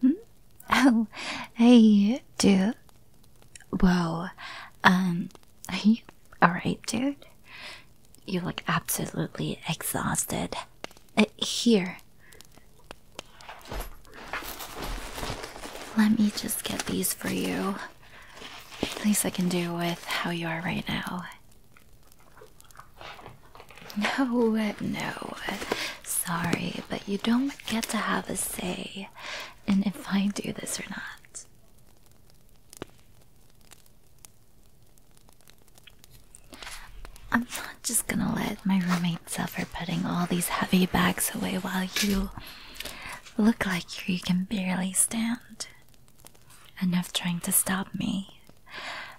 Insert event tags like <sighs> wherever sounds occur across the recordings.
Hmm? <laughs> Oh, hey, dude. Whoa, um, are you alright, dude? You look absolutely exhausted. Uh, here. Let me just get these for you. At least I can do with how you are right now. No, no. Sorry, but you don't get to have a say in if I do this or not. I'm not just gonna let my roommate suffer putting all these heavy bags away while you look like you can barely stand. Enough trying to stop me.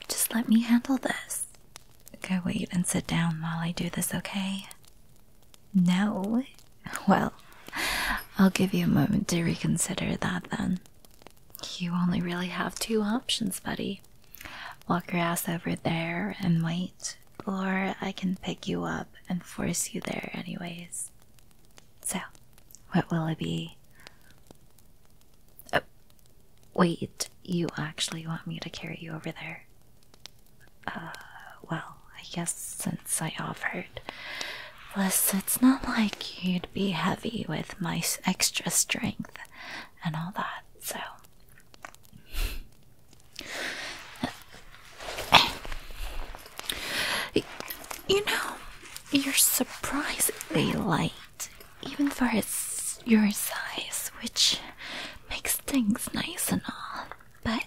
Just let me handle this. Go wait and sit down while I do this, okay? No? <laughs> Well, I'll give you a moment to reconsider that then. You only really have two options, buddy. Walk your ass over there and wait, or I can pick you up and force you there, anyways. So, what will it be? Oh, wait, you actually want me to carry you over there? Uh, well, I guess I offered. Plus, it's not like you'd be heavy with my extra strength and all that, so. You know, you're surprisingly light, even for your size, which makes things nice and all, but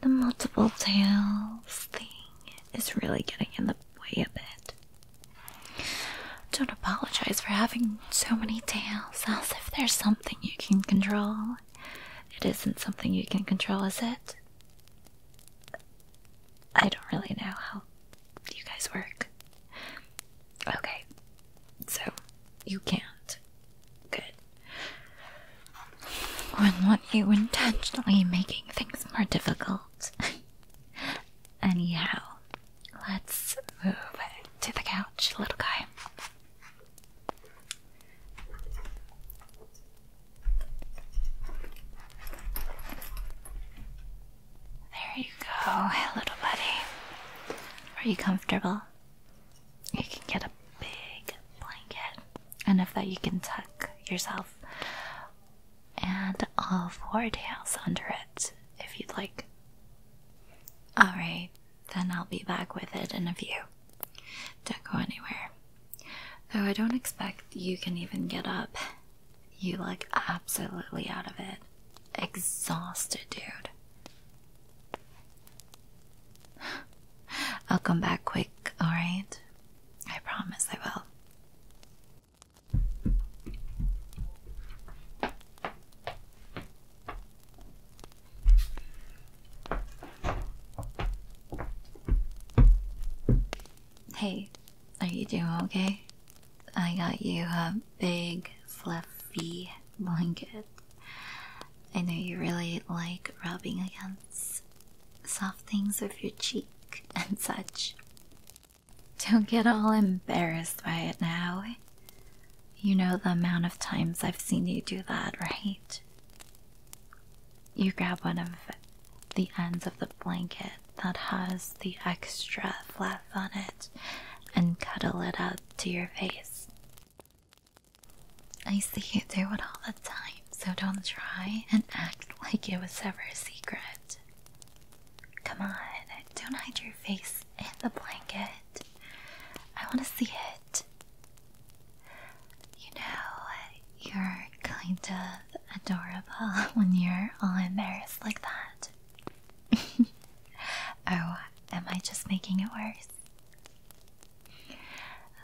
the multiple tails thing is really getting in the way a bit. Don't apologize for having so many tails, as if there's something you can control. It isn't something you can control, is it? I don't really know how you guys work. Okay, so you can't. Good. I'm not you intentionally making things more difficult. <laughs> Anyhow, let's move to the couch, little guy. There you go, little buddy. Are you comfortable? You can get a big blanket enough that you can tuck yourself. And all four tails under it if you'd like. Alright, then I'll be back with it in a few. Don't go anywhere. Though I don't expect you can even get up. You look absolutely out of it. Exhausted, dude. I'll come back quick, alright? I promise I will. Hey, are you doing okay? I got you a big fluffy blanket. I know you really like rubbing against soft things with your cheek <laughs> and such. Don't get all embarrassed by it now. You know the amount of times I've seen you do that, right? You grab one of the ends of the blanket that has the extra fluff on it and cuddle it up to your face. I see you do it all the time, so don't try and act like it was ever a secret. Come on, don't hide your face in the blanket. I want to see it. You know, you're kind of adorable <laughs> when you're all embarrassed like that. <laughs> oh, am I just making it worse?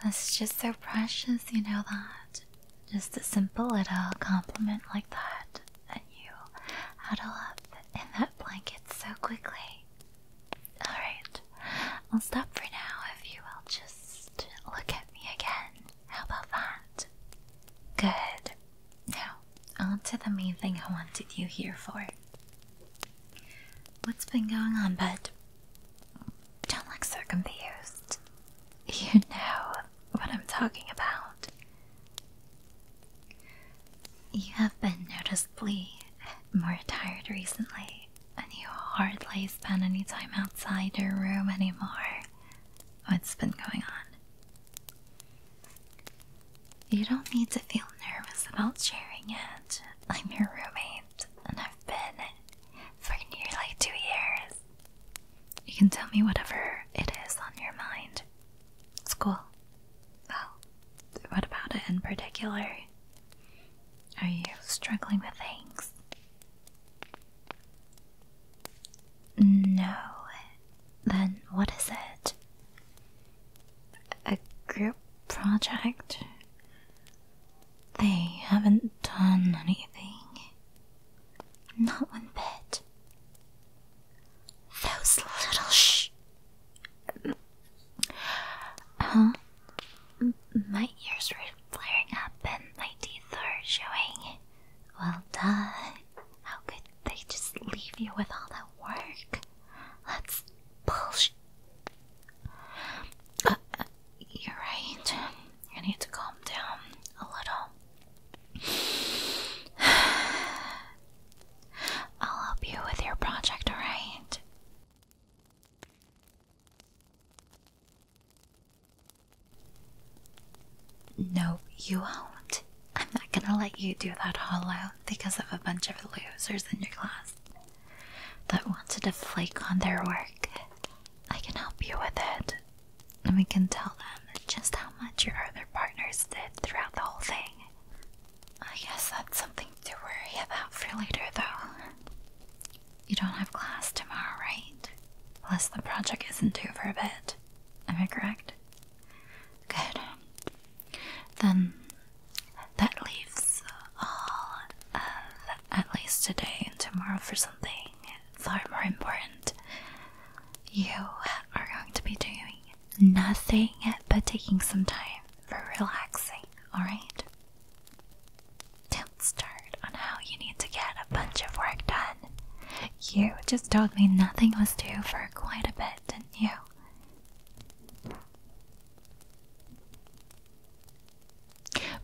That's just so precious, you know that. Just a simple little compliment like that, and you add a lot in that blanket so quickly. Alright, I'll stop for now if you will just look at me again. How about that? Good. Now, on to the main thing I wanted you here for. What's been going on, bud? Don't look so confused. You know what I'm talking about. You have been noticeably more tired recently, and you hardly spend any time outside your room anymore. What's been going on? You don't need to feel nervous about sharing it. I'm your roommate, and I've been for nearly two years. You can tell me whatever it is on your mind. School. Well, what about it in particular? Are you struggling with things? No. Then what is it? a group project? They haven't done anything. Not one bit. Those little sh. Huh? My ears were flaring up and my teeth are showing. Well done. How could they just leave you with all that work? That's bullshit. Uh, uh, you're right. I need to calm down a little. <sighs> I'll help you with your project, alright? No, you won't. I'm not gonna let you do that hollow because of a bunch of losers in your class that wanted to flake on their work. I can help you with it. And we can tell them just how much your other partners did throughout the whole thing. I guess that's something to worry about for later, though. You don't have class tomorrow, right? Plus, the project isn't due for a bit. Am I correct? Good. Then that leaves all of at least today and tomorrow for something far more important. You are going to be doing nothing but taking some time for relaxing, alright? Don't start on how you need to get a bunch of work done you just told me nothing was due for quite a bit, didn't you?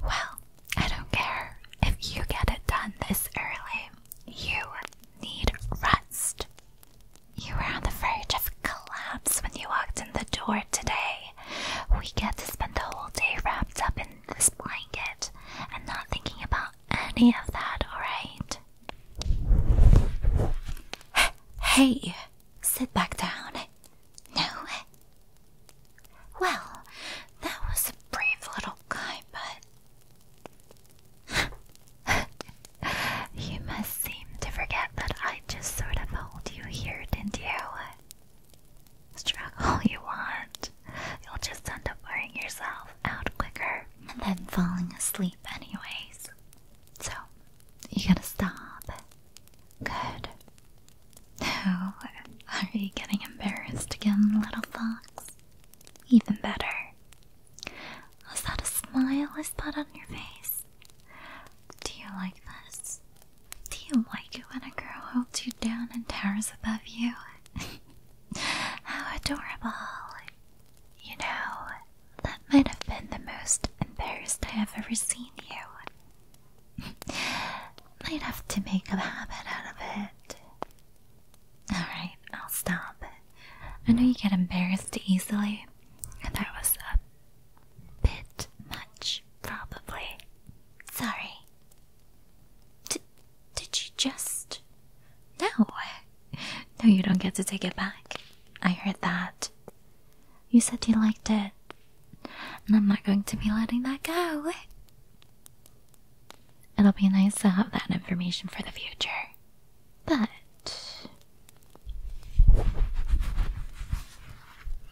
Well, I don't care if you get it done this early. You need rest. You were on the verge of collapse when you walked in the door today. We get to spend the whole day wrapped up in this blanket and not thinking about any of that, alright? Hey, sit back down. No. Well, that was a brave little guy, but. you must seem to forget that I just sort of hold you here, didn't you? struggle you want. You'll just end up wearing yourself out quicker and then falling asleep, anyways. So, you gotta stop. Good. Now, are you getting embarrassed again, little fox? Even better. Was that a smile I spot on your face? Do you like this? Do you like it when a girl holds you down and towers above you <laughs> How adorable. You know, that might have been the most embarrassed I have ever seen you. <laughs> might have to make a habit out of it. Alright, I'll stop. I know you get embarrassed easily. That was a bit much, probably. Sorry. D did you just? No. No, you don't get to take it back. I heard that. You said you liked it. And I'm not going to be letting that go. It'll be nice to have that information for the future. But.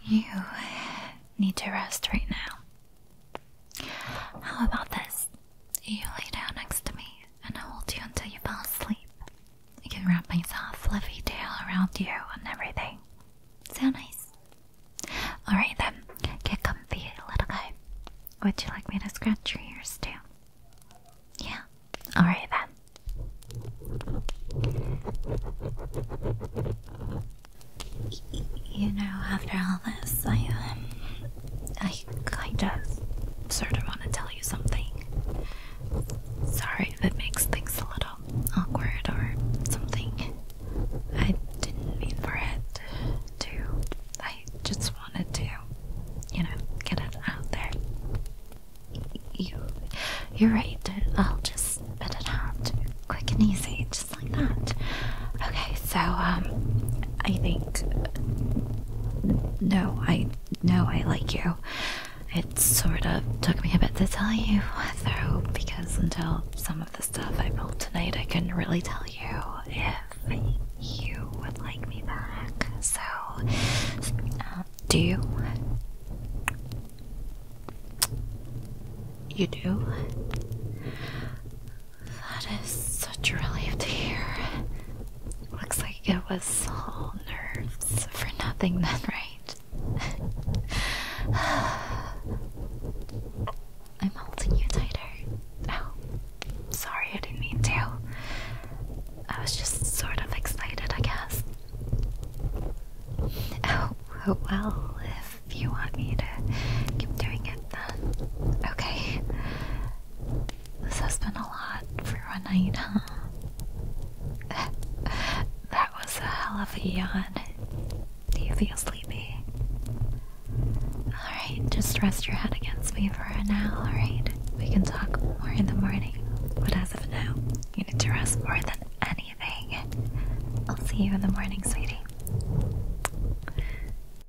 You need to rest right now. How about this? You lay down next to me and I'll hold you until you fall asleep. I can wrap my soft, fluffy tail around you and everything. Sound nice? Alright then, get comfy, little guy. Would you like me to scratch your ears too? Yeah? Alright then. You know, after all this, I um, I kind of sort of want to tell you something. Sorry if it makes things a little awkward or something. I didn't mean for it to. I just wanted to, you know, get it out there. You, you're right. I'll just spit it out quick and easy, just like that. Okay, so um, I think no, I know I like you. It sort of took me a bit to tell you, though, because until some of the stuff I pulled tonight, I couldn't really tell you if you would like me back. So, uh, do you? You do? That is such a relief to hear. Looks like it was all nerves for nothing then, right? <sighs> I'm holding you tighter. Oh, sorry, I didn't mean to. I was just sort of excited, I guess. Oh, oh, well, if you want me to keep doing it then. Okay. This has been a lot for one night, huh? <laughs> that was a hell of a yawn. Do you feel sleepy? Alright, just rest your head against me for an hour, alright? We can talk more in the morning, but as of now, you need to rest more than anything. I'll see you in the morning, sweetie.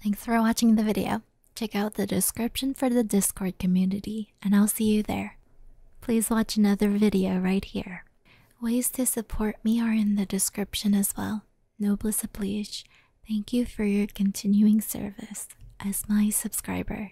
Thanks for watching the video. Check out the description for the Discord community, and I'll see you there. Please watch another video right here. Ways to support me are in the description as well. Noblesse oblige, thank you for your continuing service as my subscriber.